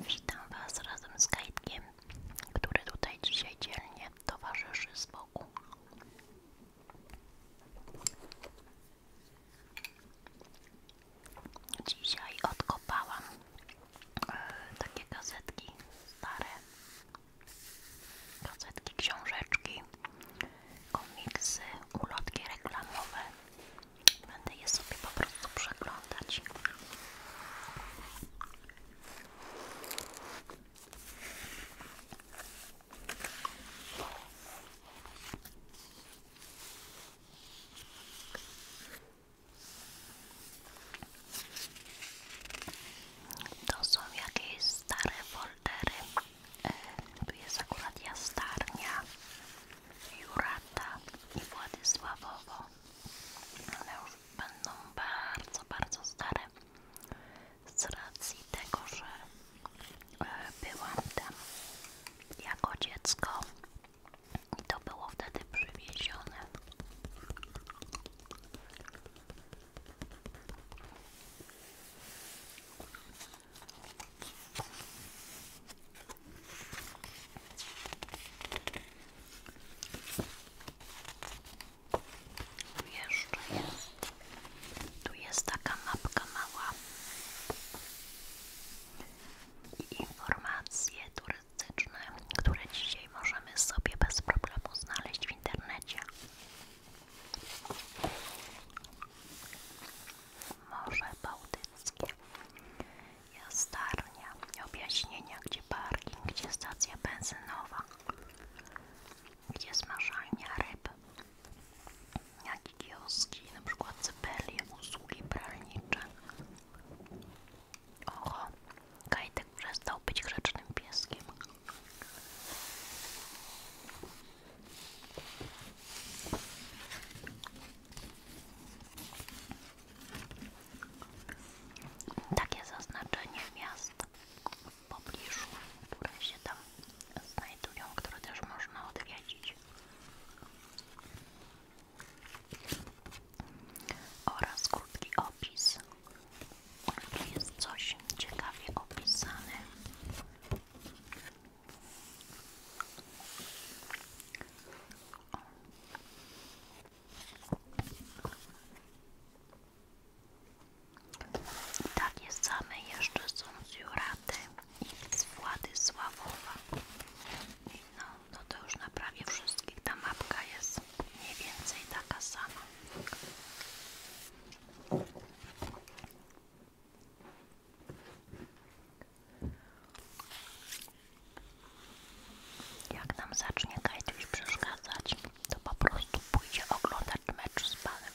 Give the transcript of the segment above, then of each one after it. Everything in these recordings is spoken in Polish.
Witam Was razem z Kajtkiem, który tutaj dzisiaj dzielnie towarzyszy z boku. Dzisiaj odkopałam e, takie gazetki stare, gazetki, książeczki, komiksy, ulotki reklamowe. Będę je sobie po prostu przeglądać. To są jakieś stare foldery. E, tu jest akurat jastarnia, Jurata i Władysławowo ale już będą bardzo, bardzo stare z racji tego, że e, byłam tam jako dziecko i to było wtedy przywiezione. Tu jest. Tu jest taka mapka mała. I informacje turystyczne, które dzisiaj możemy sobie bez problemu znaleźć w internecie. Morze Bałtyckie Jastarnia, objaśnienia, gdzie parking, gdzie stacja benzynowa, gdzie smażalnia ryb, jakie kioski, na przykład cypelie, usługi pralnicze. Oho, Kajtek przestał być grzecznym pieskim. Takie zaznaczenie miasta. w pobliżu, które się tam znajdują, które też można odwiedzić. Oraz krótki opis. Tu jest coś ciekawie opisane. O. Takie same jeszcze są z Juraty i z Władysławowa. No, no to już na prawie wszystkich ta mapka jest mniej więcej taka sama. Jak nam zacznie Kajtuś przeszkadzać, to po prostu pójdzie oglądać mecz z panem.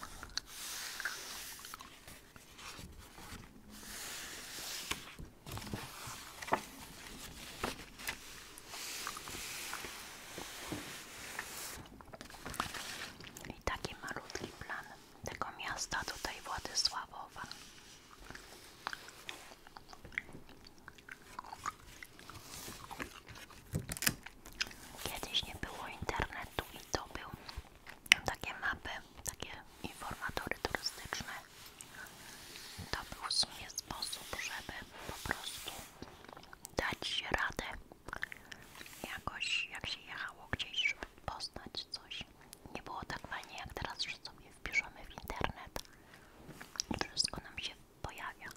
I taki malutki plan tego miasta tutaj Władysławowa. Kiedyś nie było internetu i to był takie mapy, takie informatory turystyczne. To był w sumie sposób, żeby po prostu dać się radę jakoś, jak się jechało gdzieś, żeby poznać coś. Nie było tak fajnie jak teraz, że sobie wpiszemy w internet wszystko nam się pojawia.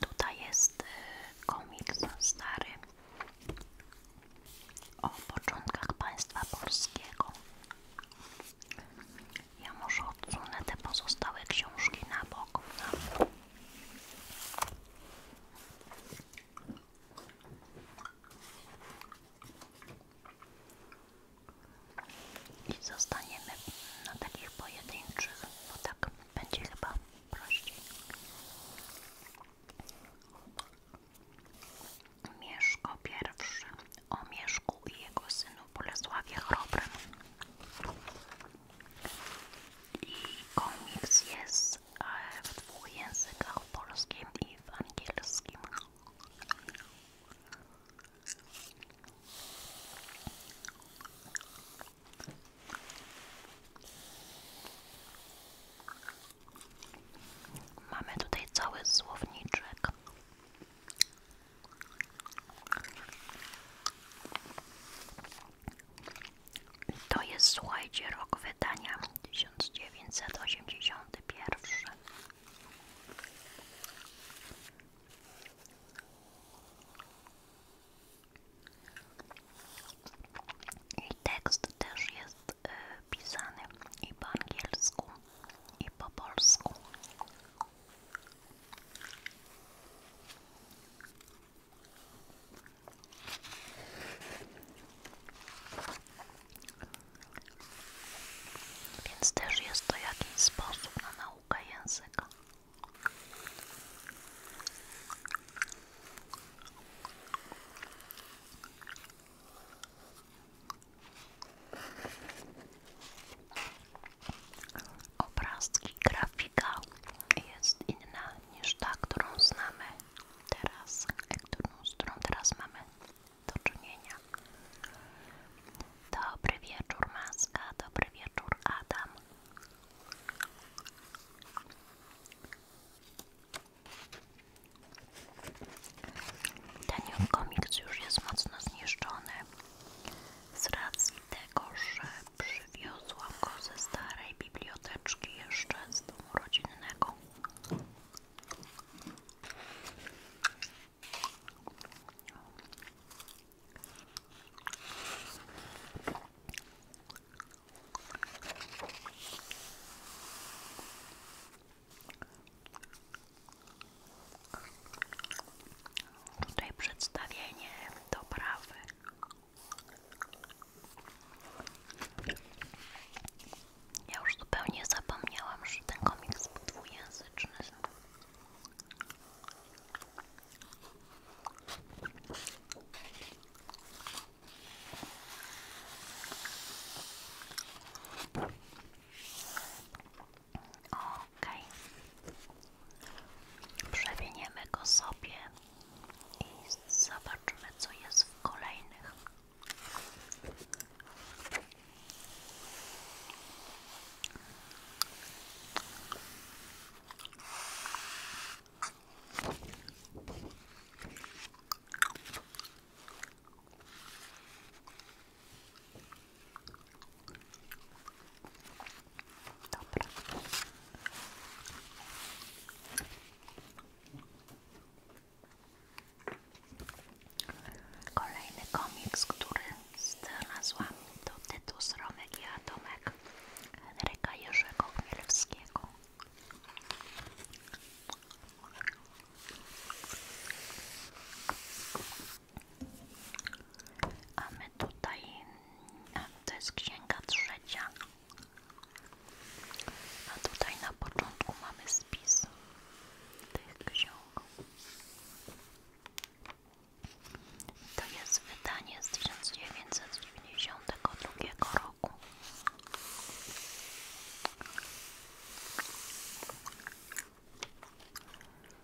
Tutaj jest y, komiks stary o początkach państwa polskiego. Ja może odsunę te pozostałe książki na bok. I zostaniemy na takich pojedynczych, no tak będzie chyba prościej. Mieszko I o Mieszku i jego synu Bolesławie Chrobrym. I komiks jest e, w dwóch językach, polskim i w angielskim. Mamy tutaj cały słowniczek to jest, słuchajcie, rok wydania 1981. I tekst też jest y, pisany i po angielsku, i po polsku. Więc też jest to jakiś sposób na naukę języka. Obrazki, grafika jest inna niż ta, którą znamy teraz, którą, z którą teraz mamy do czynienia. Dobry wieczór Maska, dobry wieczór Adam. Ten komiks już jest mocno zniszczony z racji tego, że przywiozłam go ze starej biblioteczki jeszcze z domu rodzinnego. Tutaj przedstawienie doprawy. Ja już zupełnie zapomniałam, że ten komiks był dwujęzyczny. Ok. Przewiniemy go sobie i zobaczymy, co jest w kolejnych. Dobra. Kolejny komiks, który znalazłam to tytuł Sromek jest Atomek Henryka Jerzego Chmielewskiego. A my tutaj, a to jest księga trzecia. A tutaj na początku mamy spis tych ksiąg. To jest wydanie z tysiąc dziewięćset 1992 roku.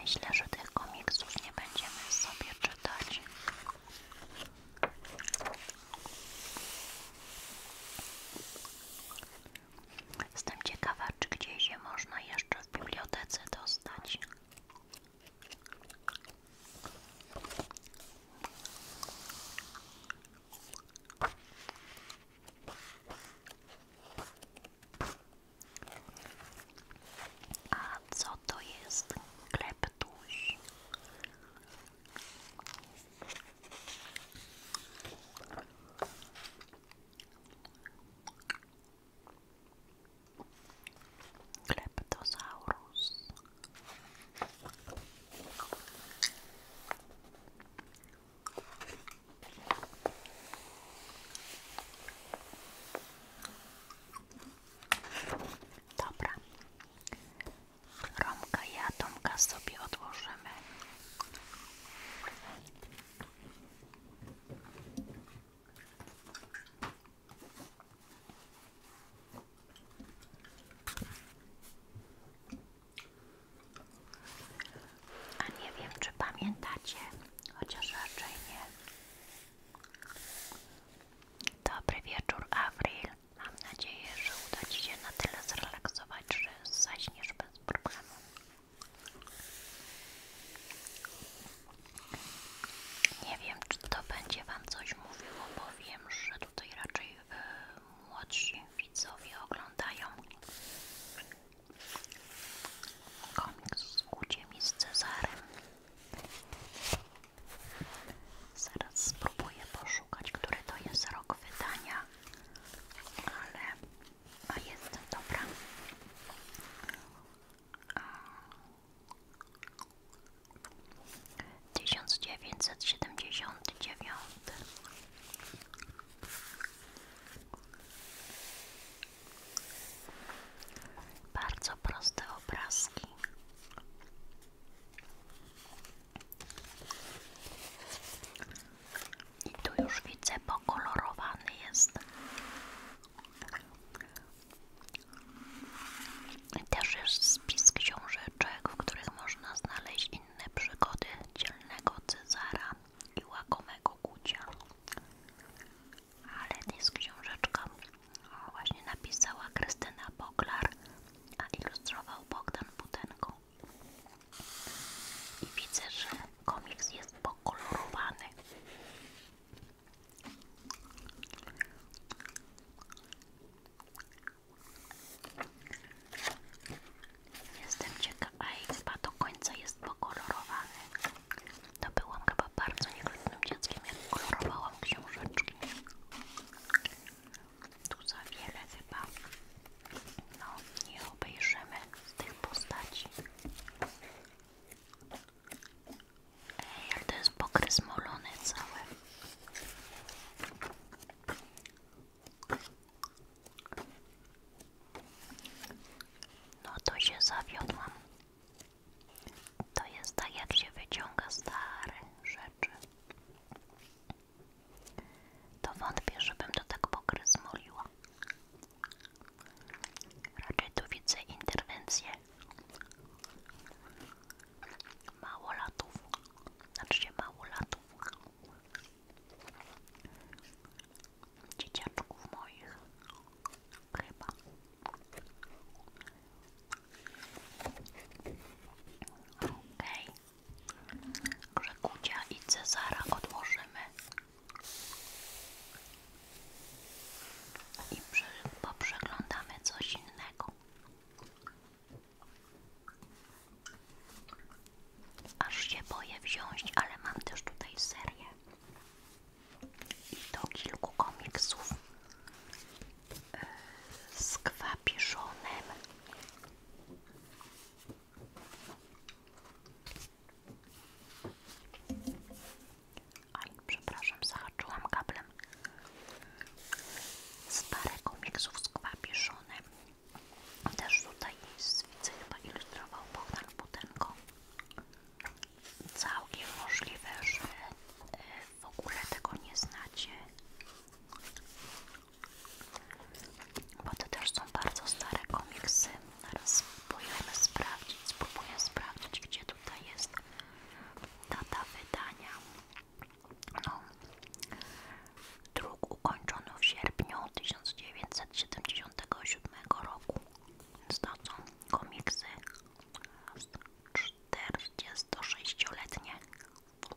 Myślę, że tych komiksów nie będziemy sobie czytać. Jestem ciekaw, czy gdzieś je można jeszcze w bibliotece dostać. A co to jest kleptuś? Kleptosaurus Dobra. Romka i Atomka sobie odłożymy. A nie wiem, czy pamiętacie, chociaż raczej nie. Dobry wieczór, Avril. Mam nadzieję, że uda Ci się na tyle zrelaksować, że zaśniesz bez problemu. Nie wiem, czy to będzie Wam coś mówiło, bo wiem, że tutaj raczej e, młodsi widzowie oglądają komiks z Guciem z Cezarem. Zaraz spróbuję poszukać, który to jest rok wydania, ale a jest dobra. A... 1979 bardzo proste obrazki. I tu już widzę, pokolorowany jest. Też jest spis książeczek, w których można znaleźć inne przygody dzielnego Cezara i łagomego Gucia. Ale jest książeczka właśnie napisała Krystyna Boglar, a ilustrował Bogdan Butenko. I widzę, że komiks jest pokolorowany. Jestem ciekawa, a chyba do końca jest pokolorowany. To byłam chyba bardzo niegrzecznym dzieckiem, jak kolorowałam książeczki. Tu za wiele chyba. No, nie obejrzymy z tych postaci. Ej, ale to jest pokres molony cały. No to się zawiodłam. To jest tak jak się wyciąga stare rzeczy. To wątpię, żebym to tak pokry zmoliła. Raczej tu widzę interwencję. Mało latów. Znaczy mało latów dzieciaczków moich chyba okej okay. Grzekucia i Cezara odłożymy i przeglądamy coś innego Aż się boję wziąć, ale mam też tutaj serię i do kilku komiksów e, z kwapiszonem. Aj, przepraszam, zahaczyłam kablem. Z parę komiksów z kwapiszonem. Też tutaj jest, widzę, chyba ilustrował Bogdan Butenko. Całkiem możliwe, że e, w ogóle tego nie znacie. Bo to też są bardzo stare komiksy. Zaraz sprawdzić, spróbuję sprawdzić, gdzie tutaj jest data wydania. No, Druk ukończony w sierpniu 1977 roku. Więc to są komiksy 46-letnie.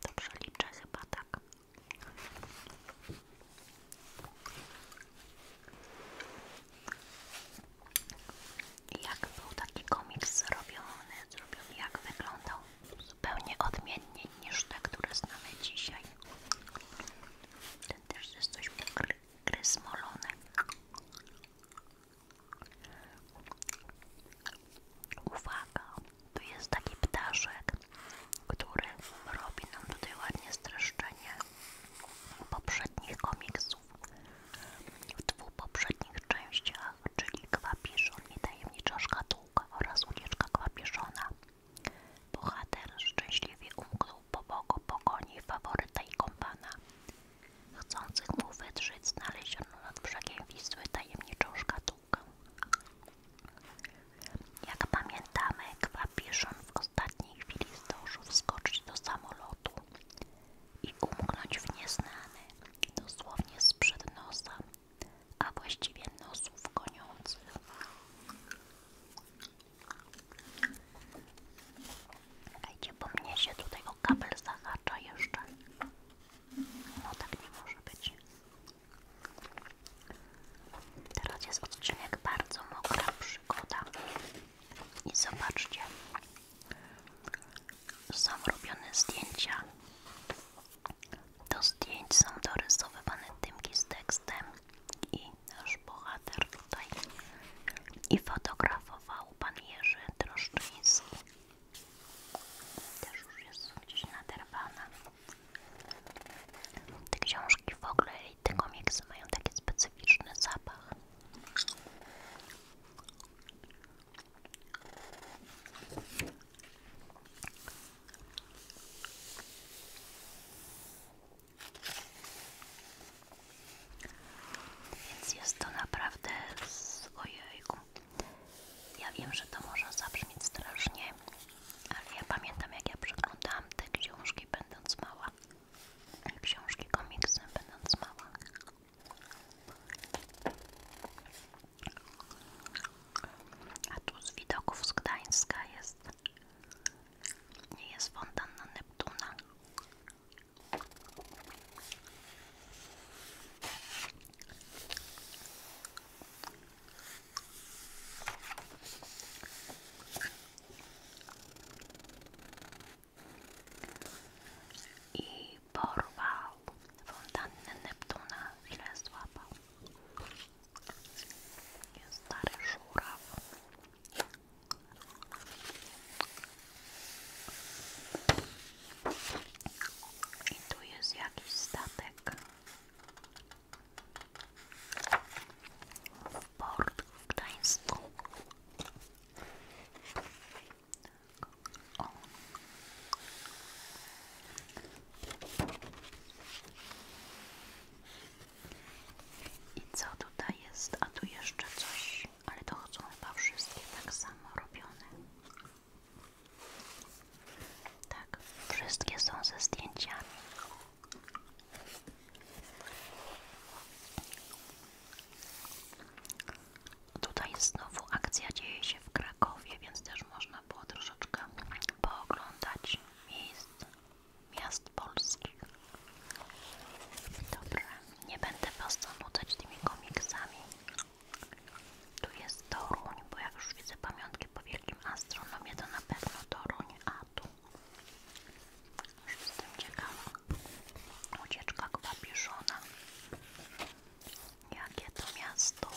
Dobrze liczę chyba tak. Jak był taki komiks zrobiony, zrobiony, jak wyglądał? Zupełnie odmiennie niż te, które znamy dzisiaj. Ten też jest coś gryzmolony. Uwaga, tu jest taki ptaszek, który robi nam tutaj ładnie streszczenie poprzednich komiksów. W dwóch poprzednich częściach, czyli Kwapiszon i Tajemnicza Szkatułka oraz Ucieczka Kwapiszona Bohater szczęśliwie umknął po boku pogoni faworyta i kompana. Chcących mu wydrzeć znaleziono nad brzegiem Wisły tajemniczą szkatułkę. Jak pamiętamy, Kwapiszon w ostatniej chwili zdążył wskoczyć do samolotu i umknąć w nieznany, dosłownie sprzed nosa, a właściwie nosów goniących. Czekajcie, bo mnie się tutaj o kabel zahacza jeszcze. No tak nie może być. Teraz jest odcinek bardzo mokra przygoda. I zobaczcie, są robione zdjęcia do zdjęć są dorysowywane tymki z tekstem i nasz bohater tutaj i fotografował pan Jerzy Droszczyński. Też już jest gdzieś naderwana. Te książki w ogóle i te komiksy mają taki specyficzny zapach. Więc jest to naprawdę z ojejku. Ja wiem, że to może zabrzmieć strasznie, ale ja pamiętam jak ja przeglądałam te książki będąc mała. Książki komiksy będąc mała. A tu z widoków z Gdańska jest nie jest fontana Neptuna. I porwał fontannę Neptuna, ile złapał. Stary żuraw. I tu jest jakiś statek. port w Gdańsku. Tak. I co tutaj jest? A tu jeszcze coś, ale to chodzą chyba wszystkie tak samo robione. Tak, wszystkie są ze zdjęciami. Tutaj znowu akcja dzieje się w Krakowie, więc też można było troszeczkę pooglądać miejsce miast polskich. Dobra, nie będę Was zanudzać tymi komiksami. Tu jest Toruń, bo jak już widzę pamiątki po wielkim astronomie, to na pewno Toruń, a tu już jestem ciekawa. Ucieczka kwapiszona. Jakie to miasto?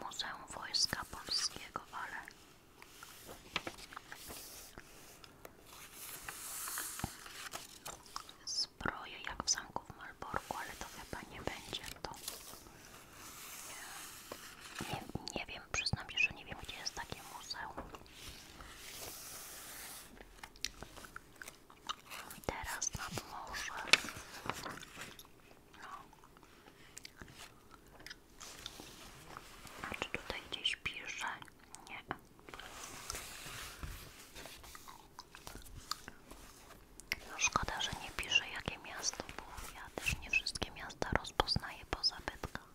Muzeum Wojska Polskiego, ale zbroję jak w zamku w Malborku, ale to chyba nie będzie to. Nie, nie wiem, przyznam się, że nie wiem, gdzie jest takie muzeum. Teraz nad morze. No. A czy tutaj gdzieś pisze? Nie. No szkoda, że nie pisze jakie miasto, bo ja też nie wszystkie miasta rozpoznaję po zabytkach.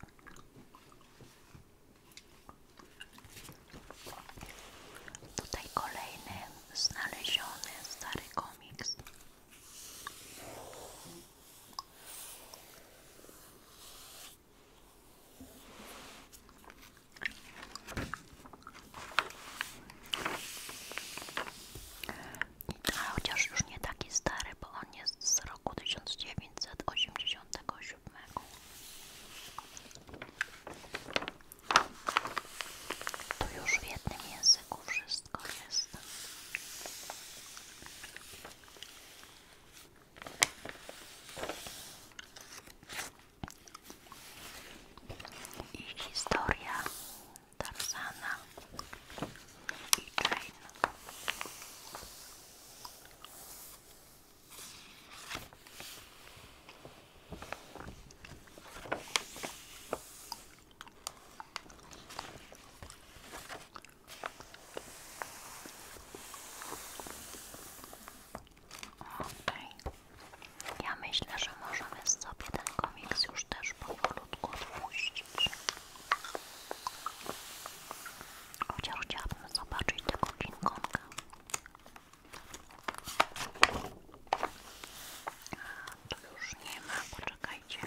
Tutaj kolejny znaleziony stary komiks. A chociaż już nie taki stary, bo on jest z roku dziewięćset 1987. Tu już w jednym języku wszystko jest. I historia Tarzana i Jane. Okej. Ja myślę, że możemy sobie ten komiks już też powolutku odpuścić. Chociaż chciałabym zobaczyć tego King Konga. A, tu już nie ma, poczekajcie.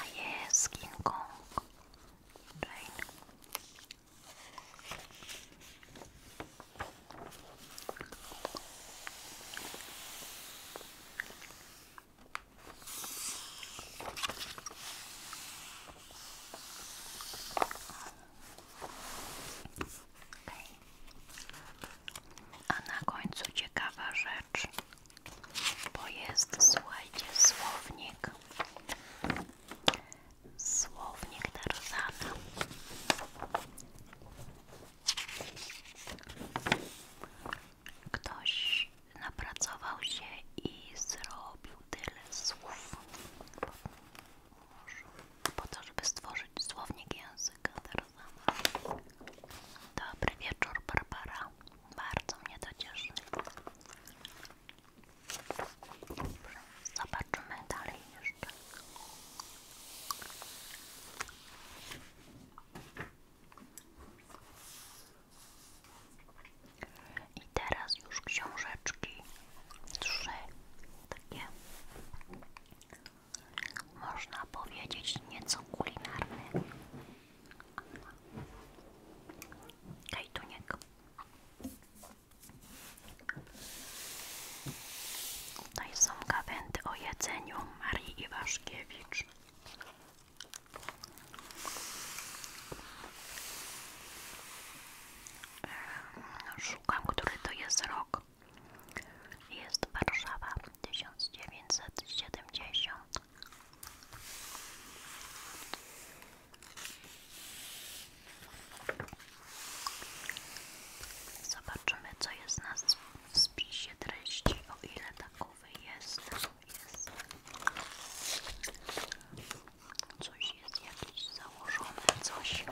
A jest King Kong. Jane. A na końcu ciekawa rzecz, bo jest, słuchajcie, słownik. Słownik Tarzana. Ktoś napracował się i zrobił tyle słów po to, żeby stworzyć słownik języka Dobry wieczór Barbara, bardzo mnie to cieszy. Dobrze, zobaczymy dalej jeszcze. I teraz już książeczki trzy takie można powiedzieć nieco kulinarne. Kajtuniek. Tutaj są gawędy o jedzeniu Marii Iwaszkiewicz. Ehm, szukam, który to jest rok. Jest Warszawa 1970. Zobaczymy, co jest na spisie treści, o ile takowy jest tu jest? Coś jest jakieś założone, coś.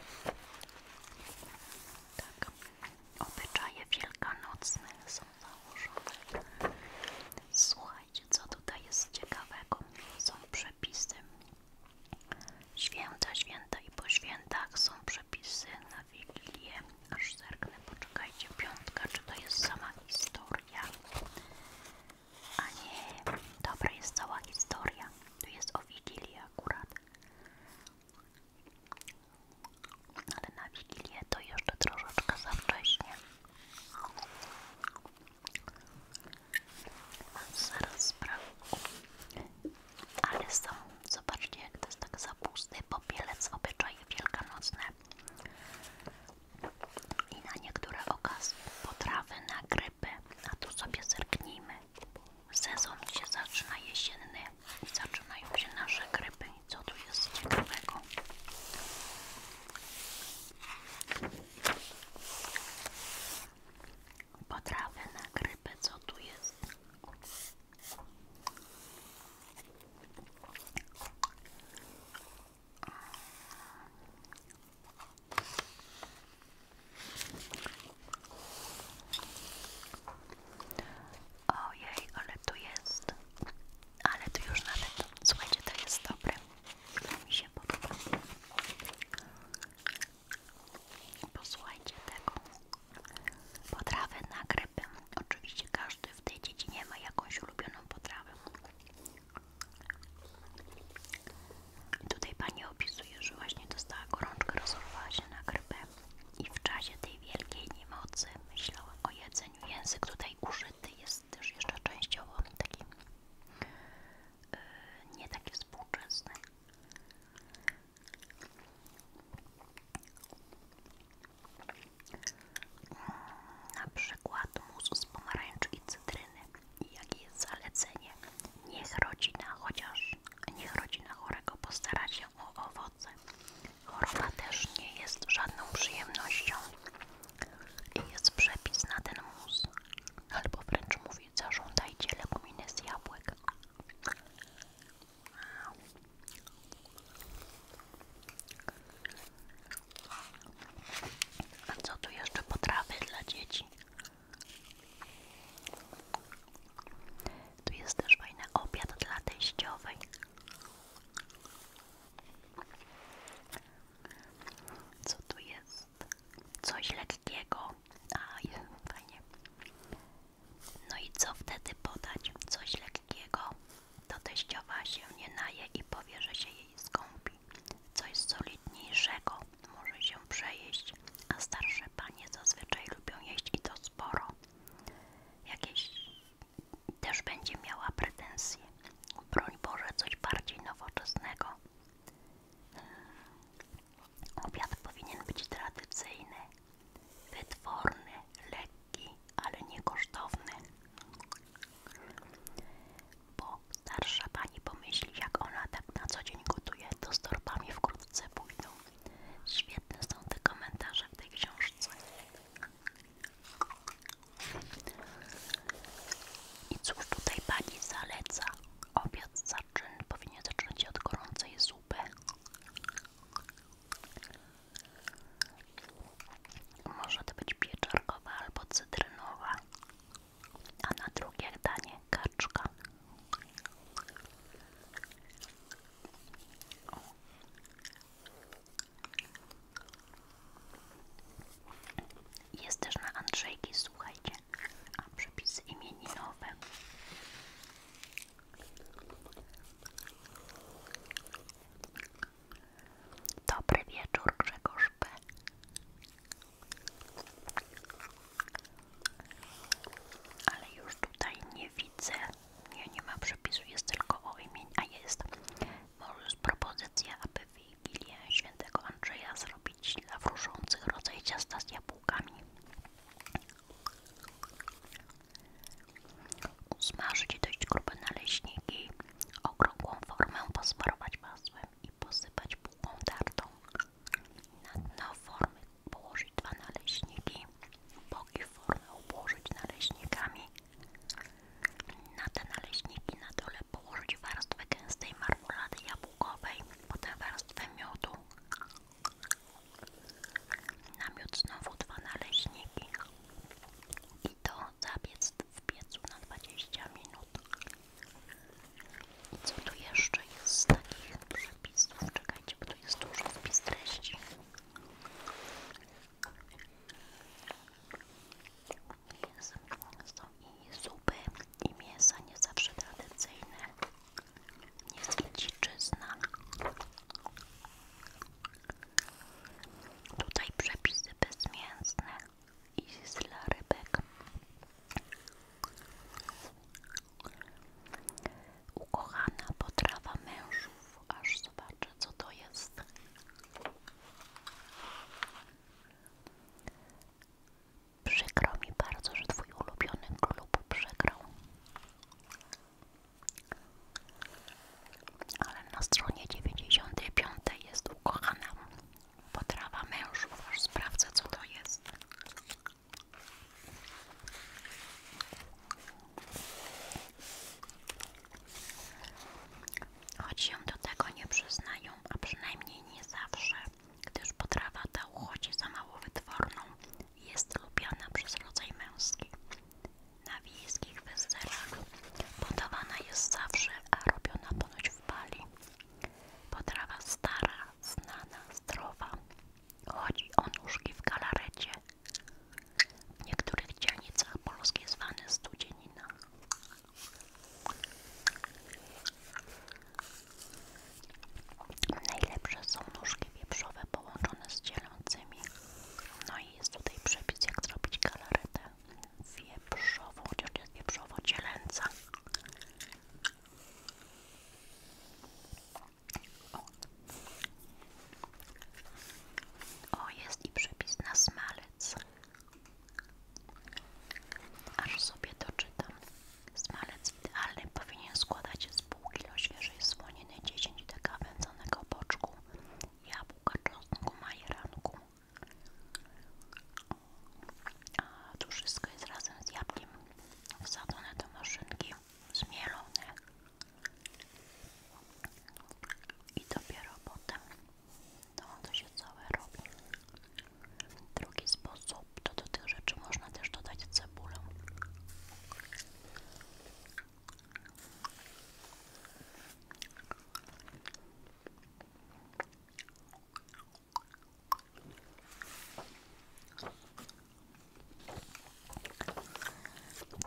Tak, obyczaje wielkanocne są założone. Słuchajcie, co tutaj jest ciekawego. Są przepisy. Święta, święta i po świętach są przepisy na Wigilię. Aż zerknę, poczekajcie, piątka, czy to jest sama historia? A nie, dobra jest cała historia. Tu jest o Wigilii akurat. Ale na Wigilię to jeszcze troszeczkę za wcześnie. Zaraz sprawdzę. Ale są, zobaczcie jak to jest tak za pusty popielec, obyczaje wielkanocne i na niektóre okazje potrawy na grypy, a tu sobie zerknijmy. Sezon się zaczyna jesienny zaczynają się nasze grypy. co tu jest ciekawego? Potrawy na grypy, co tu jest? Ojej, ale tu jest. Ale tu już nawet. Słuchajcie, to jest dobre. Mi się Posłuchajcie tego. Potrawę na grypy. Oczywiście każdy w tej dziedzinie ma jakąś ulubioną potrawę. I tutaj pani opisuje, że właśnie dostała gorączkę, rozorwała się na grypę i w czasie tej wielkiej niemocy myślała o jedzeniu. Język tutaj użyty jest też jeszcze częściowo taki yy, nie taki współczesny. Na przykład mus z pomarańczy i cytryny jakie jest zalecenie. Niech rodzina, chociaż niech rodzina chorego postara się o owoce. Choroba też nie jest żadną przyjemnością. I jest przepis na ten mus. Albo wręcz mówi, zażądajcie leguminy z jabłek. A co tu jeszcze potrawy dla dzieci? Tu jest też fajny obiad dla teściowej. Co tu jest? Coś lekkiego. A, fajnie. No i co wtedy podać? Coś lekkiego. To teściowa się nie naje i powie, że się jej skąpi coś solidniejszego, może się przejeść, a starsze panie zazwyczaj lubią jeść i to sporo. Jakieś też będzie miała pretensje. Broń Boże, coś bardziej nowoczesnego. Hmm. Obiad powinien być tradycyjny, wytworny, lekki, ale nie kosztowny bo starsza pani pomyśli, jak ona tak na co dzień gotuje, to z torbami wkrótce pójdą. Świetne są te komentarze w tej książce. I cóż tutaj pani zaleca? Obiad zaczyn powinien zaczynać od gorącej zupy. Może to być pieczarkowa albo cytrynowa a na drugie danie kaczka. Jest też na Andrzejki, słuchajcie, a przepisy imieninowe. Dobry wieczór, Grzegorz B. Ale już tutaj nie widzę. Nie, nie ma przepisu, jest tylko o imieniu. A jest. Może jest propozycja, aby Wigilię Świętego Andrzeja zrobić dla wróżących rodzaj ciasta z jabłkami. Zmarzyć dość grube naleśniki, okrągłą formę posmarować masłem posypać bułką tartą. Na dno formy położyć dwa naleśniki, boki formy obłożyć naleśnikami. Na te naleśniki na dole położyć warstwę gęstej marmulady jabłkowej, potem warstwę miodu. Na miód znowu dwa naleśniki i to zabiec w piecu na 20 minut. I co tu jeszcze jest z takich przepisów? Czekajcie, bo tu jest duży wpis treści. Jest, są i zupy, i mięsa, nie zawsze tradycyjne. Jest i dziczyzna. Tutaj przepisy bezmięsne iść z rybek. Ukochana potrawa mężów, aż zobaczę co to jest. Przykro mi bardzo, że twój ulubiony klub przegrał. Ale na stronie 95 jest ukochana Potrawa mężów, aż sprawdzę co to jest. Choć się do tego nie przyznają, a przynajmniej nie zawsze, gdyż potrawa ta uchodzi za mało wytworną i jest lubiana przez rodzaj męski. Na wiejskich weselach podawana jest zawsze, a robiona ponoć w pali. Potrawa stara, znana, zdrowa. Chodzi o nóżki w galarecie. W niektórych dzielnicach Polski zwany studzienina. Najlepsze są nóżki wieprzowe połączone z cielącymi. No i jest tutaj przepis jak zrobić galaretę wieprzową, chociaż jest wieprzowo-cielęca. O. o, jest i przepis na smalec. Aż sobie doczytam. Smalec idealny powinien składać się z pół kilo świeżej słoniny, 10 deka wędzonego boczku, jabłka, czosnku, majeranku, a tu wszystko jest razem z jabłkiem wsadzone do maszynki, zmielone i dopiero potem to to się całe robi. Drugi sposób to do tych rzeczy można też dodać cebulę.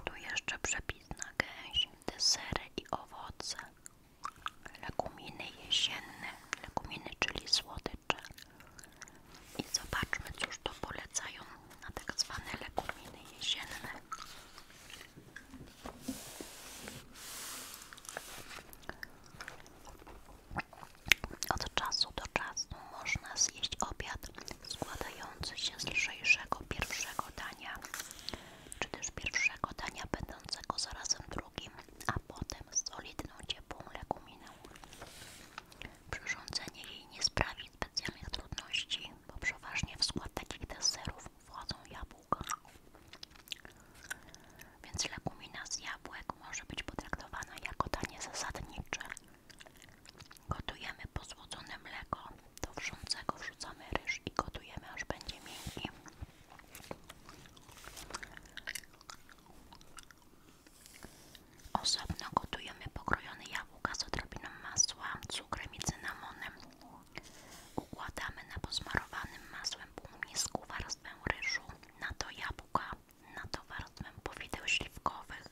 Tu jeszcze przepis na gęś, desery i owoce, leguminy jesienne, leguminy, czyli słodycze. I zobaczmy, cóż to polecają na tak zwane leguminy jesienne. Od czasu do czasu można zjeść obiad składający się z lżejszego pierwszego dania, czy też pierwszego dania będącego zarazem drugim, a potem solidną, ciepłą leguminą. Przyrządzenie jej nie sprawi specjalnych trudności, bo przeważnie w skład takich deserów wchodzą jabłka. Więc lekumina z jabłek może być potraktowana jako tanie zasadnicze. Gotujemy posłodzone mleko, do wrzącego wrzucamy ryż i gotujemy aż będzie miękki. Osobno gotujemy pokrojone jabłka z odrobiną masła, cukrem i cynamonem. Układamy na posmarowanym masłem pół warstwę ryżu, na to jabłka, na to warstwę powideł śliwkowych,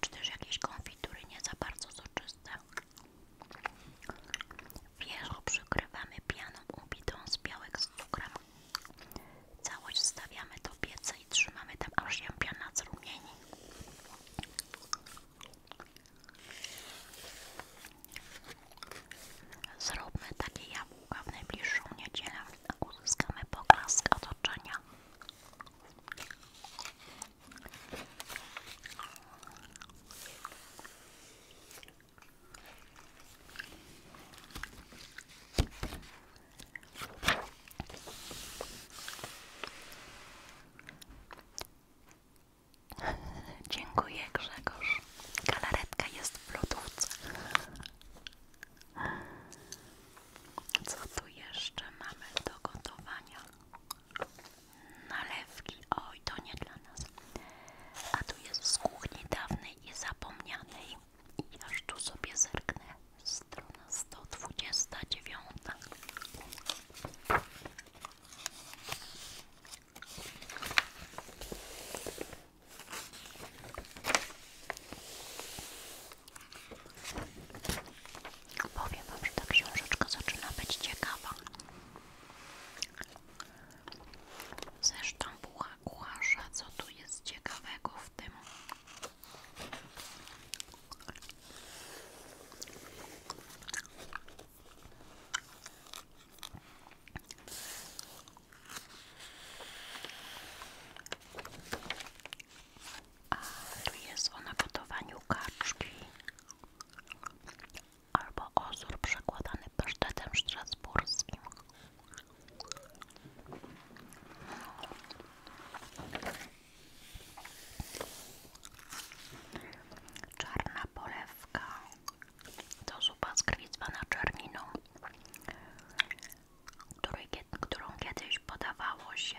czy też jakieś konfitury nie za bardzo soczyste. Wierzch przykrywamy pianą ubitą z białek z cukrem. Całość stawiamy do pieca i trzymamy tam aż jabłka piana zrumieni. Zróbmy takie jabłka w najbliższą niedzielę, a uzyskamy poklask otoczenia. Dziękuję Grzegorz. Galaretka jest w lodówce. Co tu jeszcze mamy do gotowania? Nalewki. Oj, to nie dla nas. A tu jest z kuchni dawnej i zapomnianej. I aż tu sobie zerknę. Strona 129. Powiem wam, że ta książeczka zaczyna być ciekawa. Zresztą kucharza, co tu jest ciekawego w tym? A jest o napotowaniu kaczki albo ozór przekładany pasztetem strasburskim. Czarna polewka to zupa z krwi zwana którą kiedyś podawało się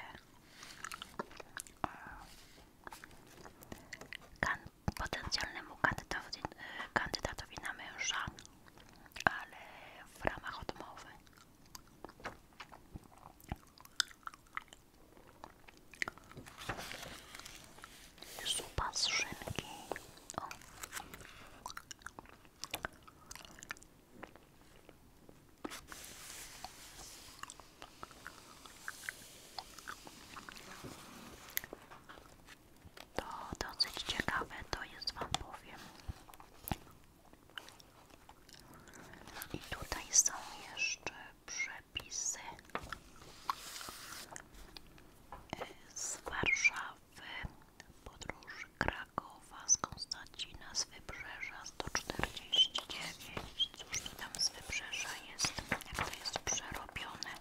e, potencjalnemu kandydatowi, kandydatowi na męża, ale w ramach odmowy. Zupa z To dosyć ciekawe, to jest Wam powiem. I tutaj są jeszcze przepisy z Warszawy, podróż Krakowa, z Konstancina, z Wybrzeża 149. Cóż to tam z Wybrzeża jest, jak to jest przerobione.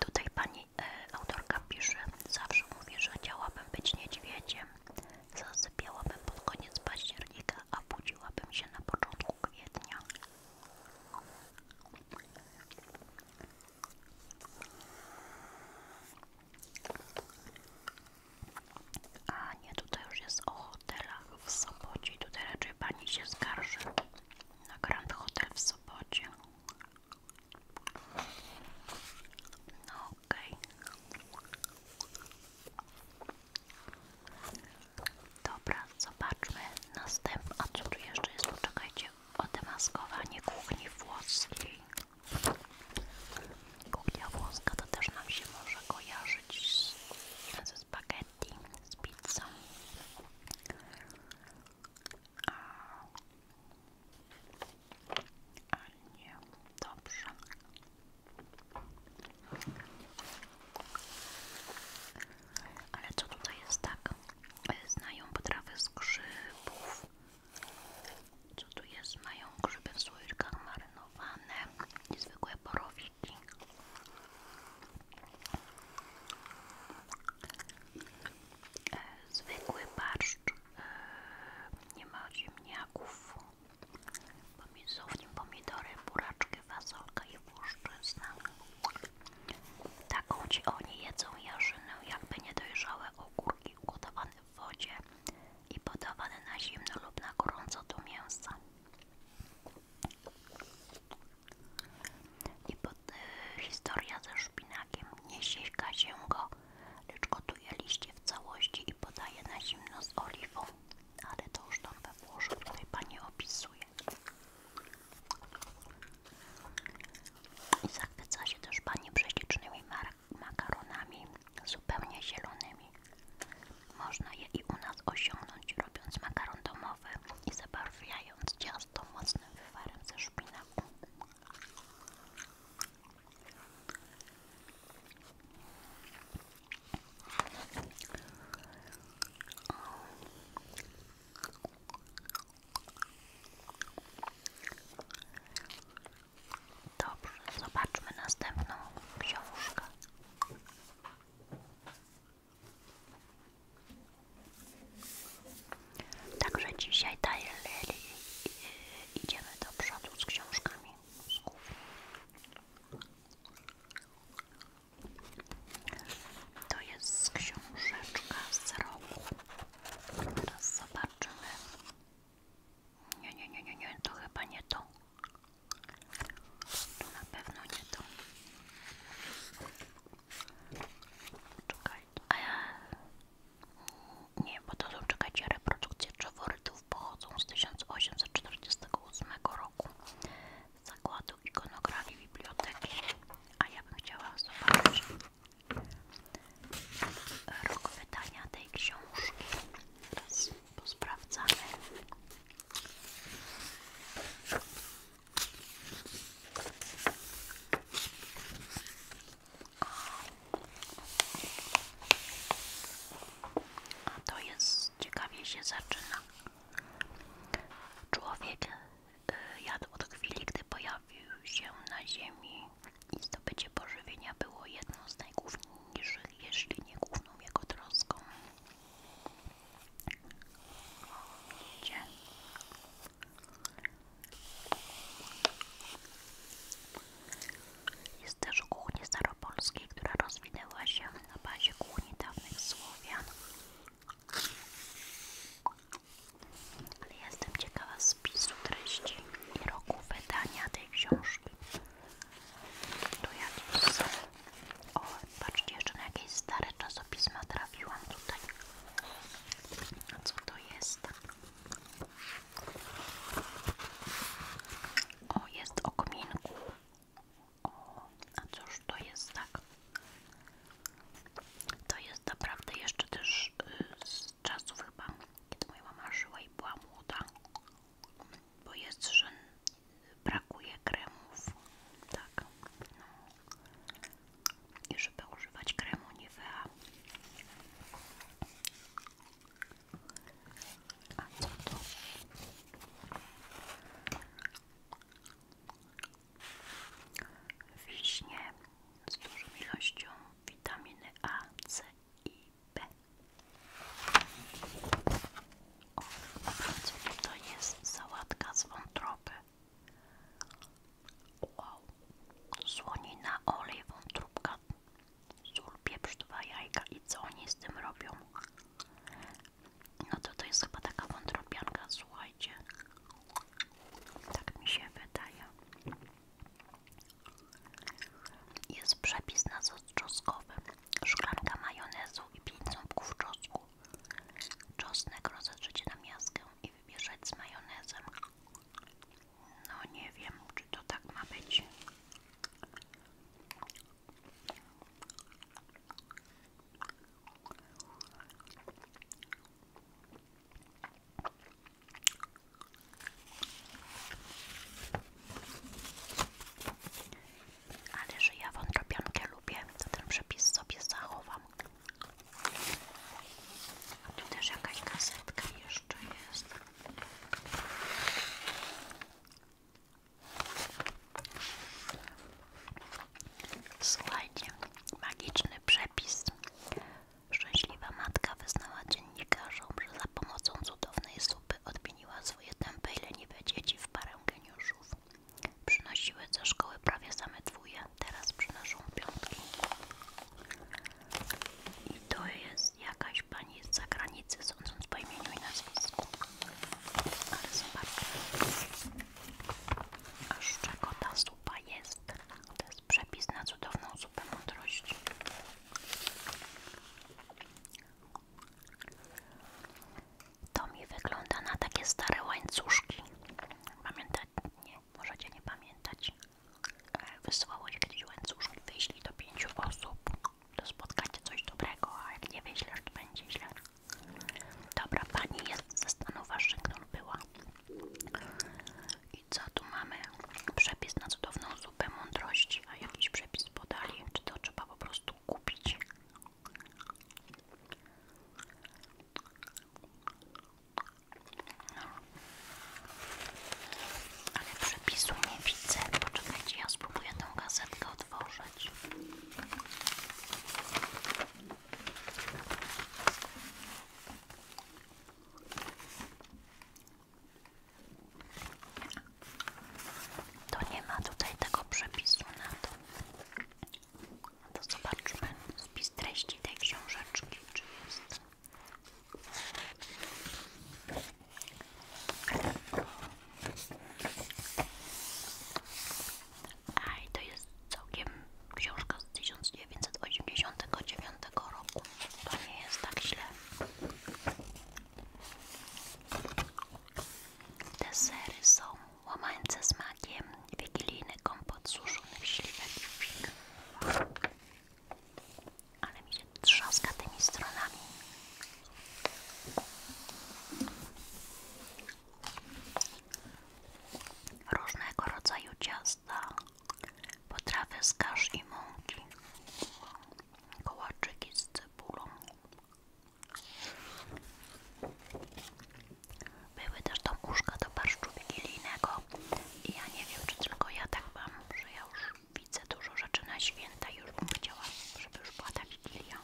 Tutaj pani e, autorka pisze, zawsze mówię, że chciałabym być niedźwiedziem, zasypiałabym pod koniec października, a budziłabym się na początku kwietnia. A nie, tutaj już jest o hotelach w Sopocie. Tutaj raczej pani się skarży na Grand Hotel w Sopocie. No Dobra, zobaczmy następny. A co tu jeszcze jest? Poczekajcie. o demaskowanie kuchni włoskiej. Kuchnia włoska to też nam się może kojarzyć ze znaczy spaghetti, z pizzą. A nie, dobrze. Ale co tutaj jest tak? E, znają potrawy z grzybów. Co tu jest? Mają grzyby w słoikach marynowane, niezwykłe borowiki. E, zwykły barszcz, nie ma ziemniaków, pomidorów, pomidory, buraczki, fasolka i włoszczyzna. Taką ci oni jedzą jarzynę, jakby niedojrzałe ogórki ugotowane w wodzie i podawane na zimno lub na gorąco do mięsa. I pod, y, historia ze szpinakiem nie sięga się go lecz gotuje liście w całości i podaje na zimno z oliwą, ale to już tam we Włoszech tutaj Pani opisuje. I zachwyca się też Pani prześlicznymi makaronami, zupełnie zielonymi. Można je i u nas osiągnąć robiąc makaron domowy i zabarwiając ciasto mocnym wywarem ze szpinaku. Dobrze, zobaczmy następną książkę. Także dzisiaj daję Lily idziemy do przodu z książkami To jest książeczka z roku. Teraz zobaczymy. Nie, nie, nie, nie, nie, to chyba nie to. To na pewno nie to. Czekaj. A nie, bo to są, czekajcie, reprodukcje czeworytów pochodzą z 1848 roku z zakładu ikonografii biblioteki, a ja bym chciała zobaczyć rok wydania tej książki. Teraz posprawdzamy. A to jest ciekawie się zaczyna. Człowiek y, jadł od chwili, gdy pojawił się na Ziemi i zdobycie pożywienia było jedną z najgłówniejszych, jeśli nie główną jego troską. Gdzie? Jest też kuchni staropolskiej, która rozwinęła się na bazie kuchni dawnych Słowian. Ale jestem ciekawa spisu treści i roku wydania tej książki. Tu jakieś są. O, patrzcie, jeszcze na jakieś stare czasopisma trafiłam tutaj. A co to jest? O, jest o kominku. O, a cóż to jest tak? To jest naprawdę jeszcze też y, z czasów chyba, kiedy moja mama żyła i była młoda. Bo jest, że brakuje kremów. Tak. No. I żeby używać kremu Nivea Wiśnie z dużą ilością witaminy A, C i B. O, co to jest sałatka z wątroby? Wow, słonina, olej, wątróbka sól, pieprz, jajka i co oni z tym robią? No to to jest chyba taka wątrobianka, słuchajcie. Tak mi się wydaje. Jest przepis na sos czoskowy. Szklanka majonezu i 5 ząbków czosku. Czosnek rozetrzecie na miaskę i wymieszać z majonezem. No nie wiem, czy to tak ma być. Ale że ja wątrobiankę lubię, to ten przepis sobie zachowam. tu też jakaś kasetka jeszcze jest. Słuchajcie, magiczny przepis. Szczęśliwa matka wyznała dziennikarzom, że za pomocą cudownej supy odmieniła swoje tępe i leniwe dzieci w parę geniuszów. Przynosiły ze szkoły prawie same dwóje, teraz przynoszą piątki. I to jest jakaś pani z zagranicy, sądząc po imieniu i nazwisku. Ale zobaczcie, aż czego ta zupa jest. To jest przepis na cudowną zupę mądrości. To mi wygląda na takie stare łańcuszki. Pamiętać? Nie, możecie nie pamiętać. E, wysłałeś, gdy łańcuch wyślij do pięciu osób, to spotkacie coś dobrego, a jak nie wyślesz, to będzie źle. Dobra, pani jest ze stanu Waszyngton była. I co tu mamy? Przepis na cudowną zupę mądrości, a jakiś przepis podali, czy to trzeba po prostu kupić? No, ale przepisu nie widzę. Poczekajcie, ja spróbuję tę gazetkę otworzyć. To nie ma tutaj tego przepisu na to. No to zobaczmy spis treści tej książeczki, czy jest. A i to jest całkiem książka z tysiąc dziewięćset osiemdziesiątego dziewiątego roku. To nie jest tak źle. Desery są łamańce z makiem, wigilijny kompot suszonych śliwek ale mi się trzaska tymi stronami. Różnego rodzaju ciasta, potrawy z kasz i mąki, kołaczyki z cebulą. Były też tam uszka do barszczu wigilijnego i ja nie wiem, czy tylko ja tak mam, że ja już widzę dużo rzeczy na święta już bym chciała, żeby już była ta Wigilia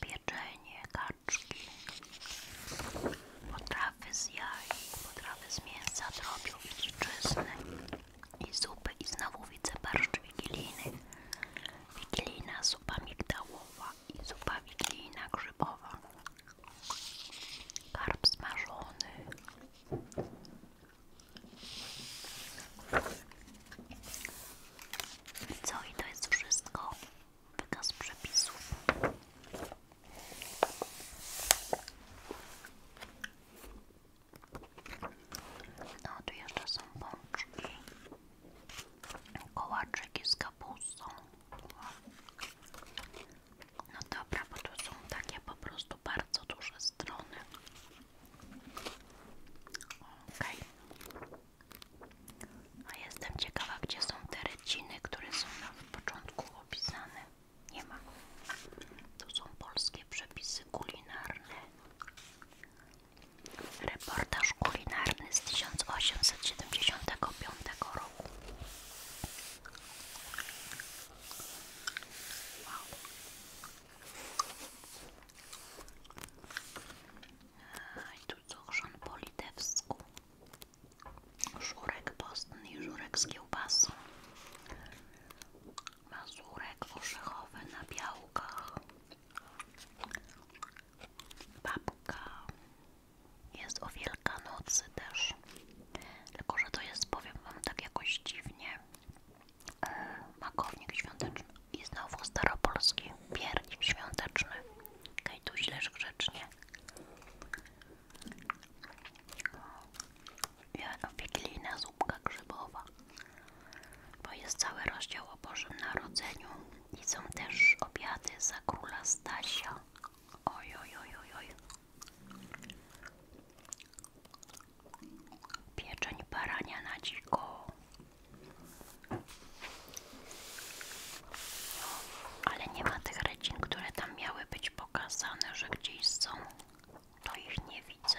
pieczenie, kaczki potrawy z jaj, potrawy z mięsa, drobiu i i zupy i znowu widzę barszcz wigilijny wigilijna zupa migdałowa i zupa wigilijna grzybowa. Karp smażony. I co? I to jest wszystko. Wykaz przepisów. No, tu jeszcze są pączki, kołaczyki z kapustą. No dobra, bo tu są takie po prostu bardzo duże strony. ok, A jestem ciekawa, gdzie są te ryciny, które są na początku opisane. Nie ma. Tu są polskie przepisy kulinarne. Reportaż kulinarny z 1875 roku. Wow. I tu co chrzan po litewsku. Żurek postny i żurek z kiełbasą. Mazurek orzechowy na białkach. Babka jest o Wielkanocy też. Tylko, że to jest, powiem wam tak jakoś dziwnie, e, makownik świąteczny i znowu staropolski piernik świąteczny. Kajtuś leż grzecznie. Wigilijna zupka grzybowa. Bo jest cały rozdział o Bożym Narodzeniu i są też obiady za króla Stasia. Oj, oj, oj, Pieczeń barania na dziko. Ale nie ma tych recin, które tam miały być pokazane, że gdzieś są. To ich nie widzę.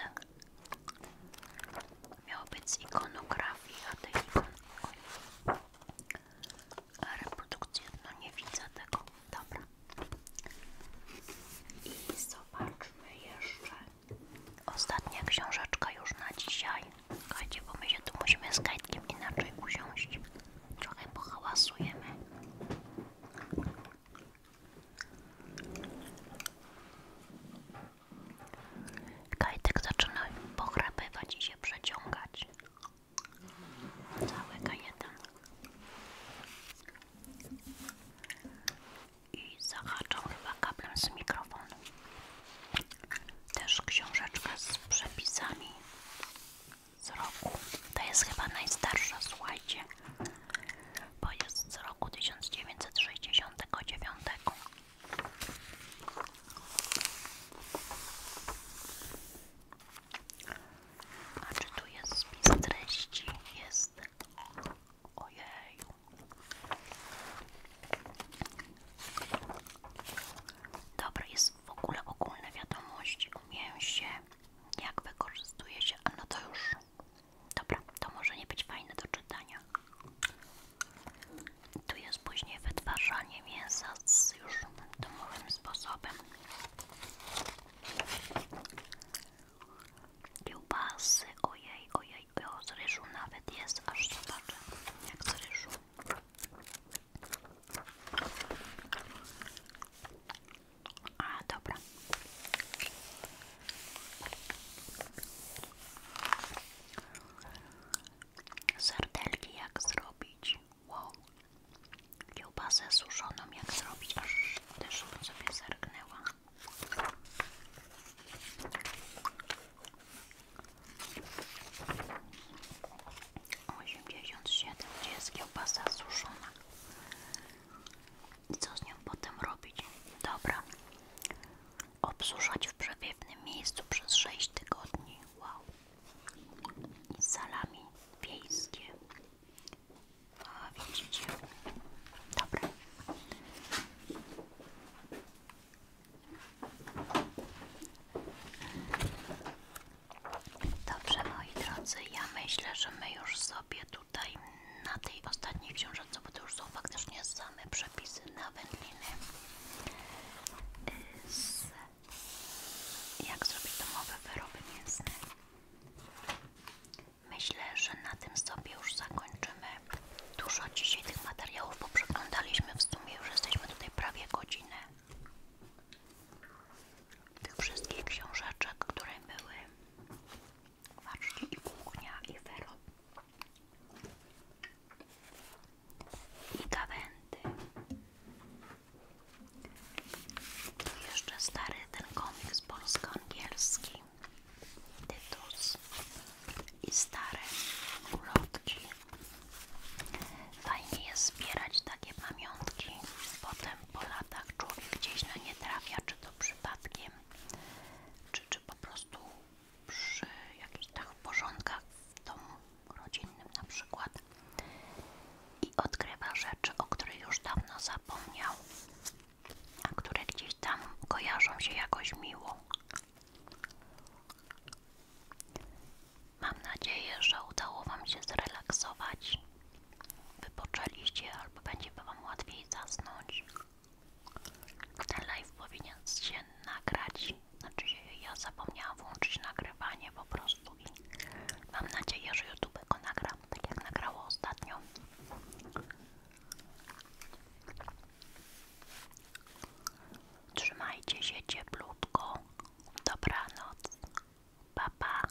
Miał być z ikonografii, a tych ikon... Oj. Reprodukcja, no nie widzę tego, dobra. I zobaczmy jeszcze ostatnia książeczka już na dzisiaj. Słuchajcie, bo my się tu musimy z kajtkiem inaczej usiąść. Trochę pohałasujemy. Kajtek zaczyna pochrapywać i się przeciągać całego jeden i zahaczą chyba kablem z mikrofonu też książeczka z przepisami z roku to jest chyba najstarsza, słuchajcie bo jest z roku 1969 a czy tu jest spis treści? Jest. Ojej. Dobra, jest w ogóle ogólne wiadomości o mięsie. Jak wykorzystuje się? no to już. Dobra, to może nie być fajne do czytania. Tu jest później wytwarzanie mięsa z już domowym sposobem. Kiełbasy, ojej, ojej, o, z ryżu nawet jak z A, dobra. Sardelki jak zrobić? Wow, kiełbasę suszoną jak zrobić, aż też bym sobie zerknęła. Osiemdziesiąt gdzie jest kiełbasa suszona? I co z nią potem robić? Dobra, obsuszać w przepiewnym miejscu przez 6 tygodni. Wow salami wiejskie. O, widzicie? Dobra. Dobrze, moi drodzy, ja myślę, że my już sobie tutaj na tej ostatniej książce, bo to już są faktycznie same przepisy na wędliny y, z jak zrobić domowe wyroby mięsne? Myślę, że na tym sobie już zakończymy. Dużo dzisiaj tych materiałów poprzeglądaliśmy, w sumie już jesteśmy tutaj prawie godzinę. Tych wszystkich książeczek, które były. Patrzcie, i kuchnia, i wyrób, i gawędy, tu jeszcze stary ten komiks polsko-angielski Tytus i stare ulotki. Fajnie jest zbierać takie pamiątki. Potem po latach człowiek gdzieś na no, nie trafia, czy to przypadkiem, czy, czy po prostu przy jakichś tak porządkach w domu rodzinnym na przykład i odgrywa rzeczy, o których już dawno zapomniał, a które gdzieś tam kojarzą się jakoś miło. Mam nadzieję, że udało Wam się zrelaksować, wypoczęliście albo będzie Wam łatwiej zasnąć. Ten live powinien się nagrać, znaczy ja zapomniałam włączyć nagrywanie po prostu Mam nadzieję, że YouTube go nagra, tak jak nagrało ostatnio. Trzymajcie się cieplutko. Dobranoc. Pa, pa.